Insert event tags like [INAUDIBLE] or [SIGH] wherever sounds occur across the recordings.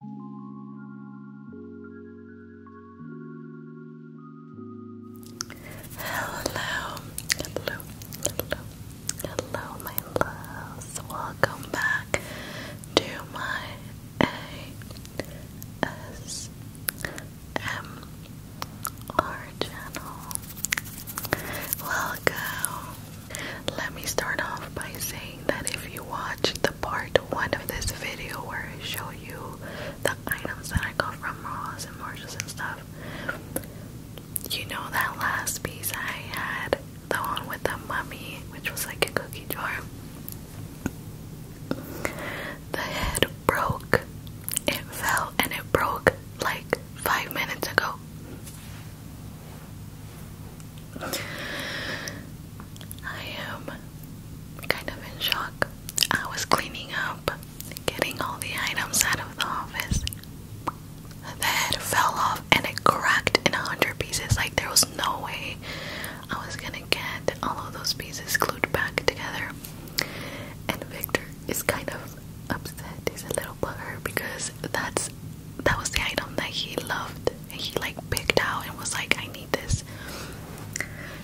Hello, hello, hello, my loves. Welcome back to my ASMR channel. Welcome. Let me start off by saying that if you watch the part one of this video where I show you the items that I got from Ross and Marshalls and stuff, you know that last piece I had, the one with the mummy, which was like a cookie jar. The head broke. It fell and it broke like five minutes ago. I am kind of in shock. I was cleaning up, getting all the items out of the office. The head fell off and it cracked in a hundred pieces. Like there was no way I was gonna get all of those pieces glued back together. And Victor is kind of upset. He's a little bugger because that's that was the item that he loved and he like picked out and was like, I need this.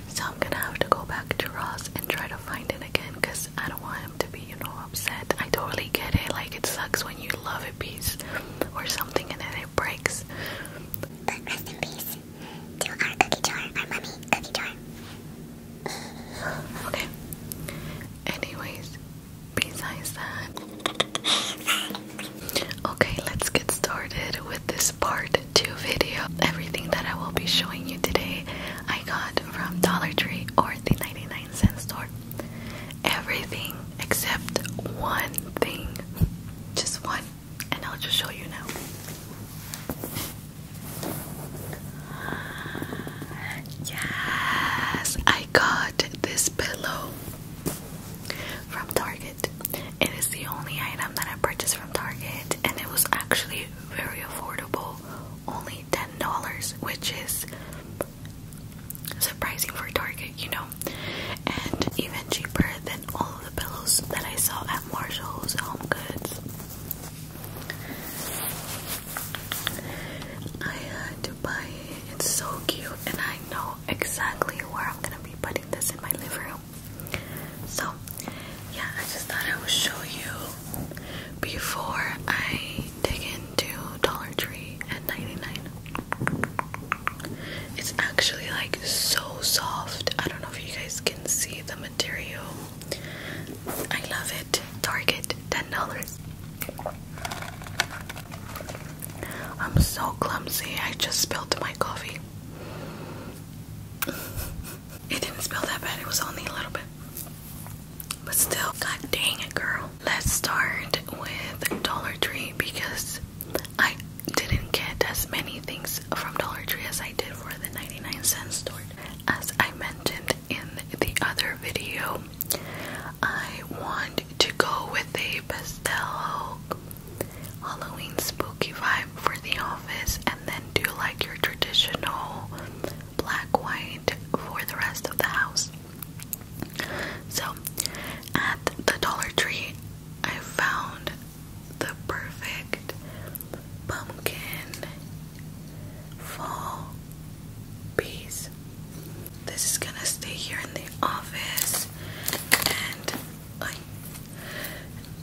So I'm gonna have to go back to Ross and try to find it again because I don't want him to be, you know, upset. I totally get it. Like, it sucks when you love a piece or something and then it breaks. But peace to okay. Anyways, besides that. [LAUGHS] Okay, let's get started with this part 2 video. Everything that I will be showing you today, I got from Dollar Tree or the 99 cent store. Everything except one thing. Just one. And I'll just show you now. Yes, I got this pillow from Target. It is the only item that I purchased from Target, and it was actually very affordable only $10, which is surprising for Target, you know, and even cheaper than all of the pillows that I saw at Marshall's Home Goods. I had to buy it, it's so cute, and I know exactly where I'm gonna be putting it adding this in my living room. So, yeah, I just thought I would show you before I dig into Dollar Tree at 99. It's actually like so soft. I don't know if you guys can see the material. I love it. Target $10. I'm so clumsy. I just spilled my coffee. it didn't spill that bad. It was only a little bit. But still, god dang it, girl. Let's start with Dollar Tree because I didn't get as many things from Dollar Tree as I did for the 99 cent store. As I mentioned in the other video, I want to go with a pastel Halloween spooky vibe for the office, and then do like your traditional black white for the rest of the house. So, at the Dollar Tree, I found the perfect pumpkin fall piece. This is gonna stay here in the office, and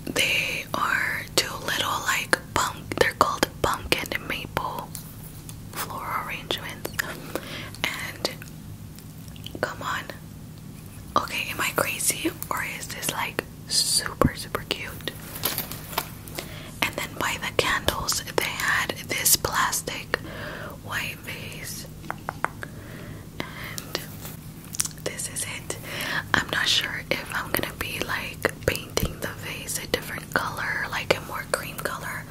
they are two little like pump they're called pumpkin and maple floral arrangements. And come on. Okay, am I crazy or is this like super super cute? And then by the candles they had this plastic white my And this is it. I'm not sure if I'm gonna be like painting the face a different color, like a more cream color,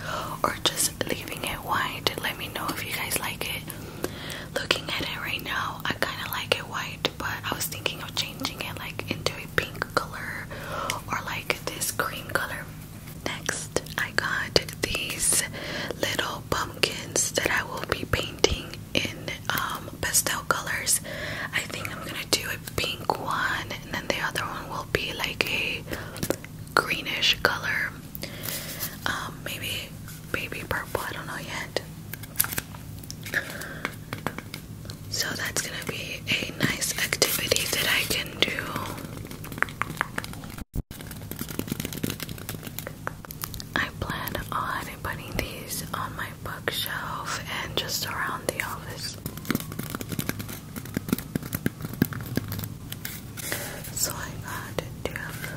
or just leaving it white. Let me know if you guys like it. Looking at it right now, I kind of like it white, but I was thinking of changing it like into a pink color or like this green color. Next, I got these little pumpkins that I will be painting in um, pastel colors. I think I'm gonna do a pink one, and then the other one will be like a greenish color. Um, maybe, maybe purple. I don't know yet. So that's gonna be a nice activity that I can do. I plan on putting these on my bookshelf and just around the office. So I got two of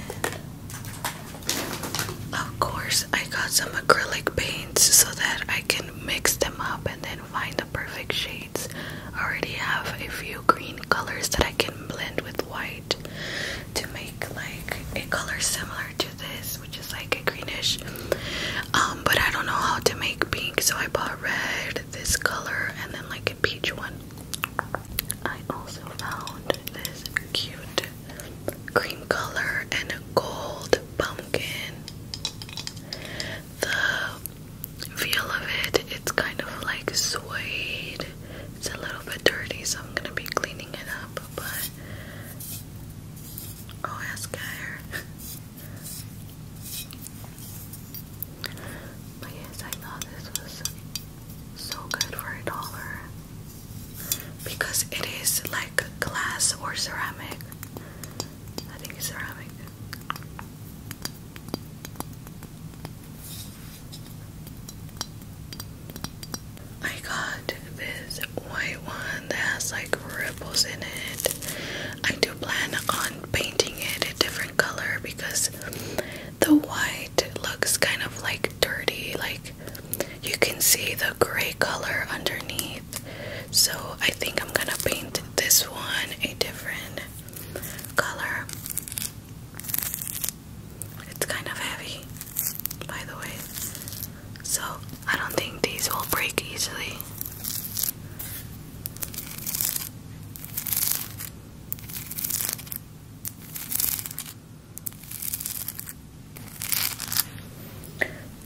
those, of course, I got some acrylic paints so that I can mix them up and then find the perfect shades. I already have a few green colors that I can blend with white, to make like a color similar to this, which is like a greenish. Um, but I don't know how to make pink, so I bought red, this color, and then like a peach one. I also found this cute cream color and a gold pumpkin. The feel of it, it's kind of like suede it's a little bit dirty, so I'm gonna be cleaning it up, but I'll but yes, I thought this was so good for a dollar because it is like glass or ceramic. I think it's ceramic. I got this white one that has like ripples in it. I do plan on painting it a different color because the white looks kind of like dirty. Like you can see the gray color underneath. So I think I'm gonna paint this one a different color. It's kind of heavy, by the way, so I don't think these will break easily.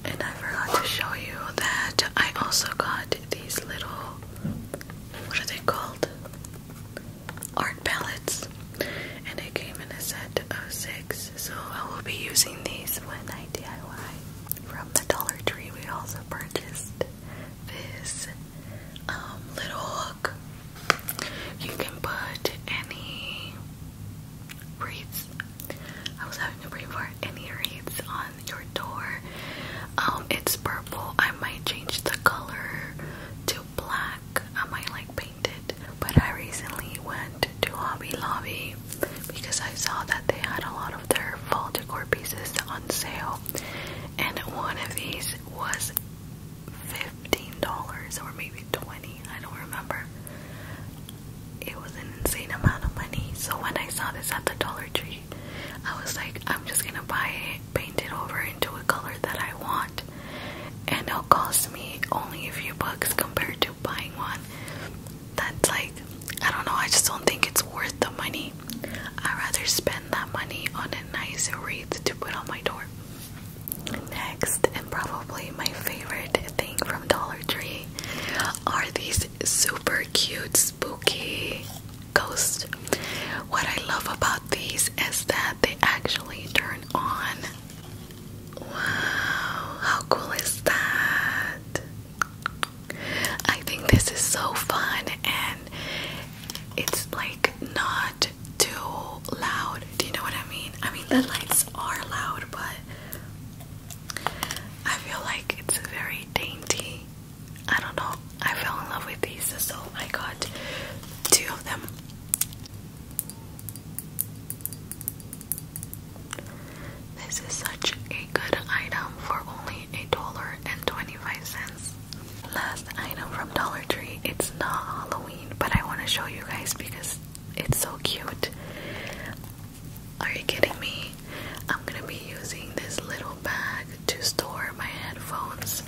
And I forgot to show you that I also got these little, what are they called? art palettes and it came in a set of six so I will be using these when I DIY from the Dollar Tree we also purchased this um, little hook you can put any wreaths I was having to bring for any wreaths on your door um, it's purple I might change the color to to black. I might like paint it. But I recently went to Hobby Lobby because I saw that they had a lot of their fall decor pieces on sale. And one of these was $15 or maybe 20 I don't remember. It was an insane amount of money. So when I saw this at the Dollar Tree, I was like, I'm just gonna buy it paint it over into a color that I want, and it'll cost me only a few bucks compared to buying one. That's like, I don't know, I just don't think it's worth the money. I'd rather spend that money on a nice wreath to put on my door. Next, and probably my favorite thing from Dollar Tree, are these super cute, spooky ghosts. What I love about these is that they actually turn on. Wow, how cool is that? I think this is so fun and it's like not too loud. Do you know what I mean? I mean, the lights are loud, but I feel like it's very dainty. I don't know. I fell in love with these, so I got two of them this is such a good item for only a dollar and 25 cents. Last item from Dollar Tree. It's not Halloween, but I want to show you guys because it's so cute. Are you kidding me? I'm gonna be using this little bag to store my headphones.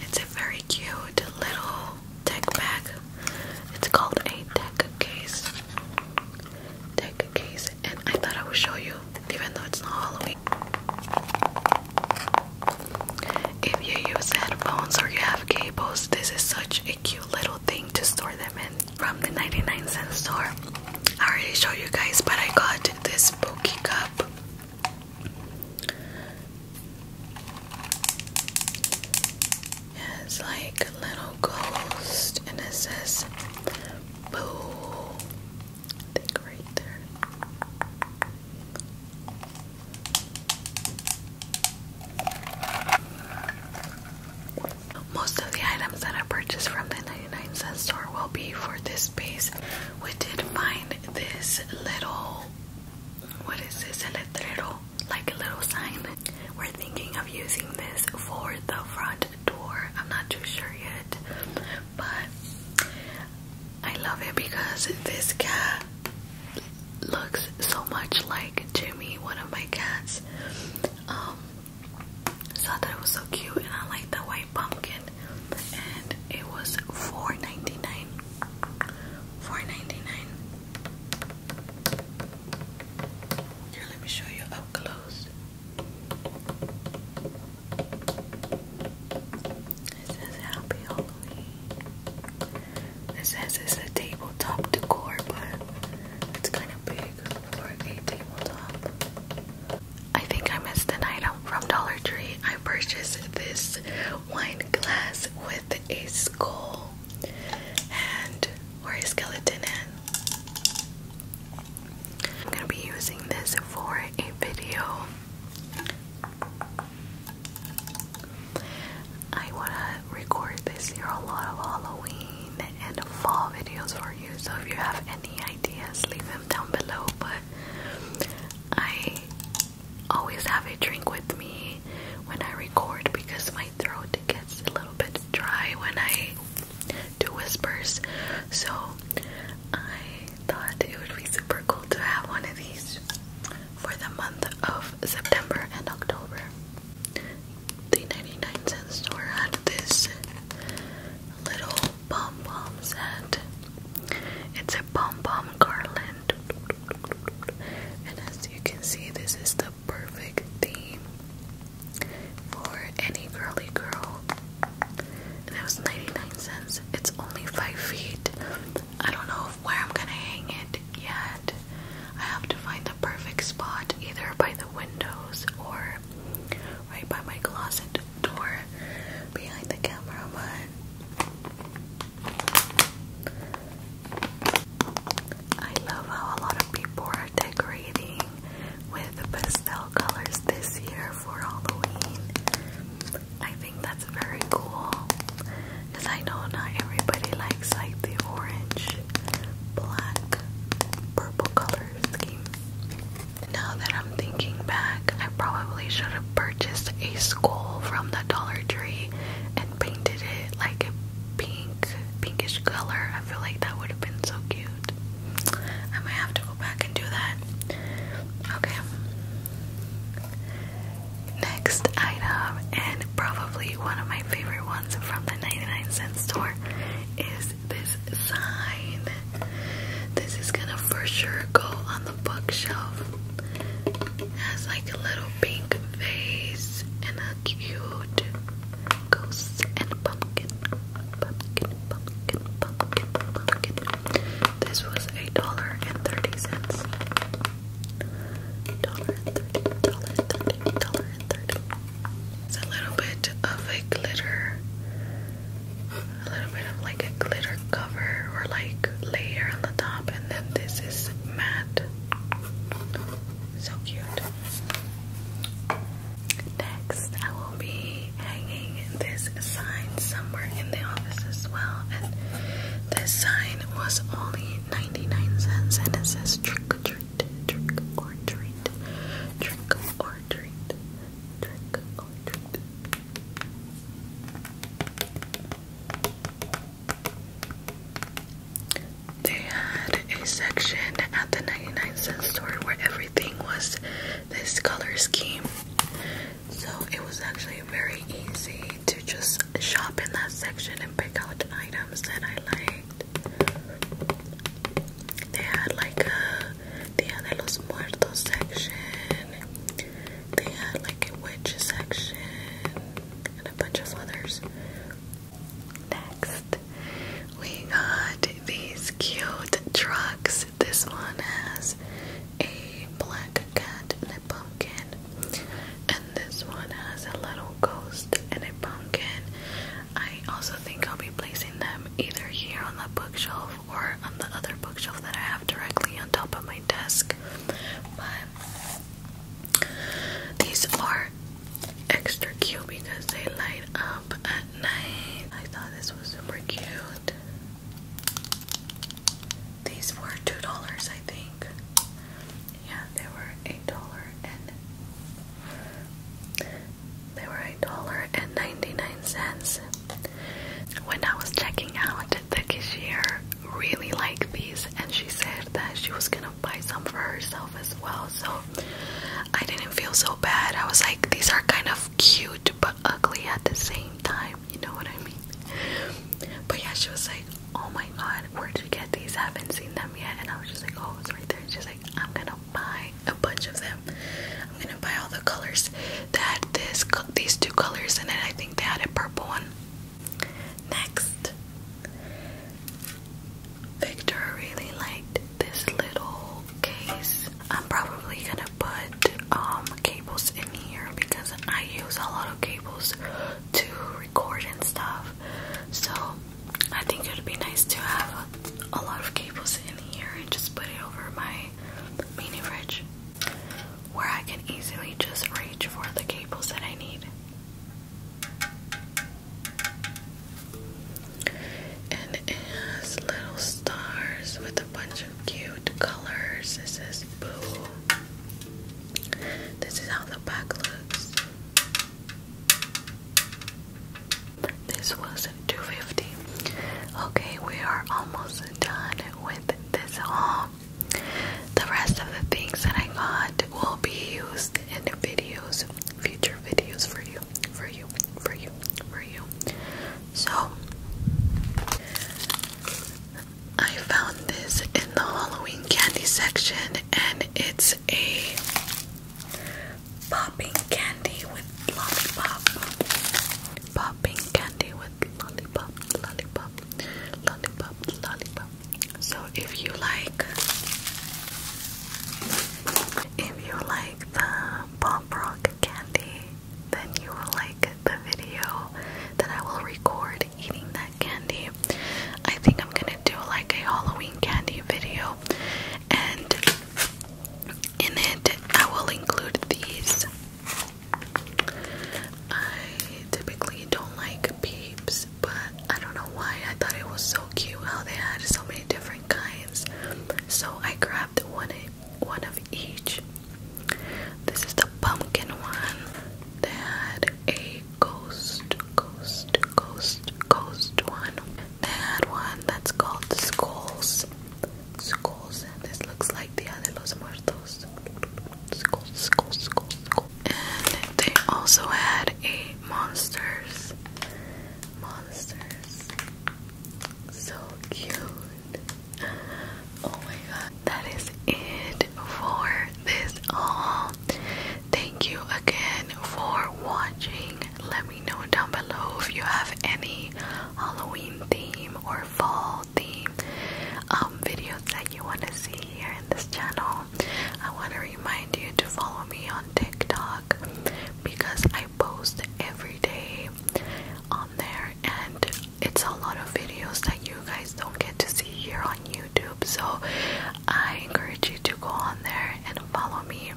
It's a very cute little tech bag. It's called a tech case. Tech case. And I thought I would show you, even though it's not Halloween. If you use headphones or you have cables, this is such a cute little thing to store them in from the 99 cent store. I already showed you guys, but I got this spooky cup it's like a little ghost, and it says boo. think right there. Most of the items that I purchased from the 99 cent store will be for this piece. We did find this little what is this? A letrero, like a little sign. We're thinking of using this for the front door. I'm not too sure yet, but I love it because this cat looks so much like Jimmy, one of my cats. Um, so I thought it was so cute, and I like the white pumpkin, and it was $4.99. $4.99. Here, let me show you up close. It says Happy Halloween. It says it's a tabletop decor, but it's kind of big for a tabletop. I think I missed the item from Dollar Tree. I purchased this wine glass with a skull and or a skeleton in. I'm gonna be using this for a video. I wanna record this year a lot of Halloween and fall videos for you. So if you have any ideas, leave them down below. But I always have a drink with me when I record because my throat gets a little bit dry when I do whispers. So I thought it would be super cool to have one of these for the month of September and October. The 99 cent store had this little pom pom set. It's a pom pom garland and as you can see, this is the perfect theme for any girly girl. And it was 99 cents. It's only 5 feet. I don't know where I'm gonna hang it yet. I have to find the perfect spot either by the windows or right by my closet door behind the camera. But I love how a lot of people are decorating with pastel colors this year for Halloween. I think that's very cool because I know not everybody likes like the orange, black, purple color scheme. Now that I'm thinking back, I probably should have purchased a skull from the Dollar Tree and painted it like a pink, pinkish color. I feel like that would have been so cute. I might have to go back and do that. Okay. Next item, and probably one of my favorite ones from the 99 cent store, is this sign. This is gonna for sure go on the bookshelf has like a little pink vase and a cute ghost and pumpkin. Pumpkin, pumpkin, pumpkin, pumpkin. This was a dollar and thirty cents. Dollar and thirty, dollar and thirty, dollar and thirty. It's a little bit of a glitter, a little bit of like a glitter or like layer on the top, and then this is matte. So cute. Next, I will be hanging this sign somewhere in the office as well. this sign was only 99 cents, and it says trick or treat, or treat, trick or treat, trick or treat. They had a section at the 99 cent store where everything was this color scheme. So it was actually very easy to just shop in that section and pick out items that I liked. They had like a Dia de los Muertos section. They had like a witch section and a bunch of others. Next, we got these cute trucks. This one has a black cat and a pumpkin, and this one has a little ghost and a pumpkin. I also think I'll be placing them either here on the bookshelf or on the other bookshelf that I have directly on top of my desk. But these are extra cute because they light up at night. I thought this was super cute. These were two dollars, I think. Yeah, they were eight dollar and they were a dollar ninety nine When I was checking out the cashier, really liked these and she said that she was gonna buy some for herself as well. So I didn't feel so bad. I was like, these are kind of cute but ugly at the same time. You know what I mean? But yeah, she was like, oh my god, where did you get these? I haven't seen them yet. And I was just like, oh, it's right there. And she's like, I'm gonna buy a bunch of them. I'm gonna buy all the colors. They had this, these two colors in it. I think they had a purple one Next, Victor really liked this little case. I'm probably gonna put um cables in here because I use a lot of cables to record and stuff. So I think it would be nice to have a lot of cables in here and just put it over my mini fridge where I can easily just reach for the cables that I need. And it has little stars with a bunch of cute colors. This is Boo. This is how the back looks. This was 250. Okay, we are almost done with this haul. The rest of the things that I got will be used in videos, future videos for you, for you, for you, for you. So, I found this in the Halloween candy section, and it's a popping candy with lollipop. Popping candy with lollipop lollipop, lollipop, lollipop, lollipop. So if you like, if you like the Pop Rock candy, then you will like the video that I will record eating that candy. I think I'm gonna do like a Halloween candy video, and in it I will include these I typically don't like peeps, but I don't know why. I thought it was so cute how they had so many different kinds. So I grabbed one of each. This is the pumpkin one. They had a ghost, ghost, ghost, ghost one. They had one that's called the skulls. Skulls, and this looks like the de los Muertos school, school, school, school. And they also had a monsters, monsters. So cute. Oh my god. That is it for this haul. Thank you again for watching. Let me know down below if you have any Halloween theme or fall the um, videos that you want to see here in this channel, I want to remind you to follow me on TikTok because I post every day on there, and it's a lot of videos that you guys don't get to see here on YouTube. So I encourage you to go on there and follow me.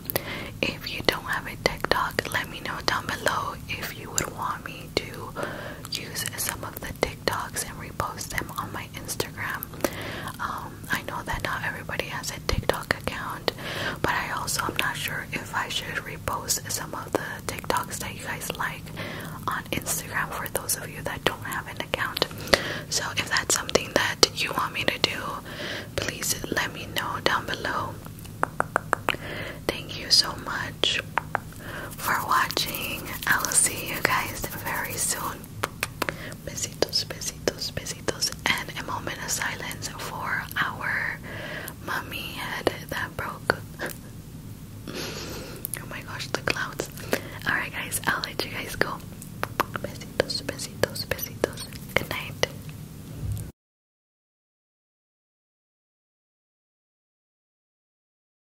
If you don't have a TikTok, let me know down below if you would want me to use some of the TikToks and repost them on my Instagram. Um, I know that not everybody has a TikTok account, but I also am not sure if I should repost some of the TikToks that you guys like on Instagram for those of you that don't have an account. So if that's something that you want me to do, please let me know down below. Thank you so much for watching. I will see you guys very soon. Besitos, besitos, besitos, and a moment of silence for our mummy head that broke. [LAUGHS] oh my gosh, the clouds. Alright, guys, I'll let you guys go. Besitos, besitos, besitos. Good night.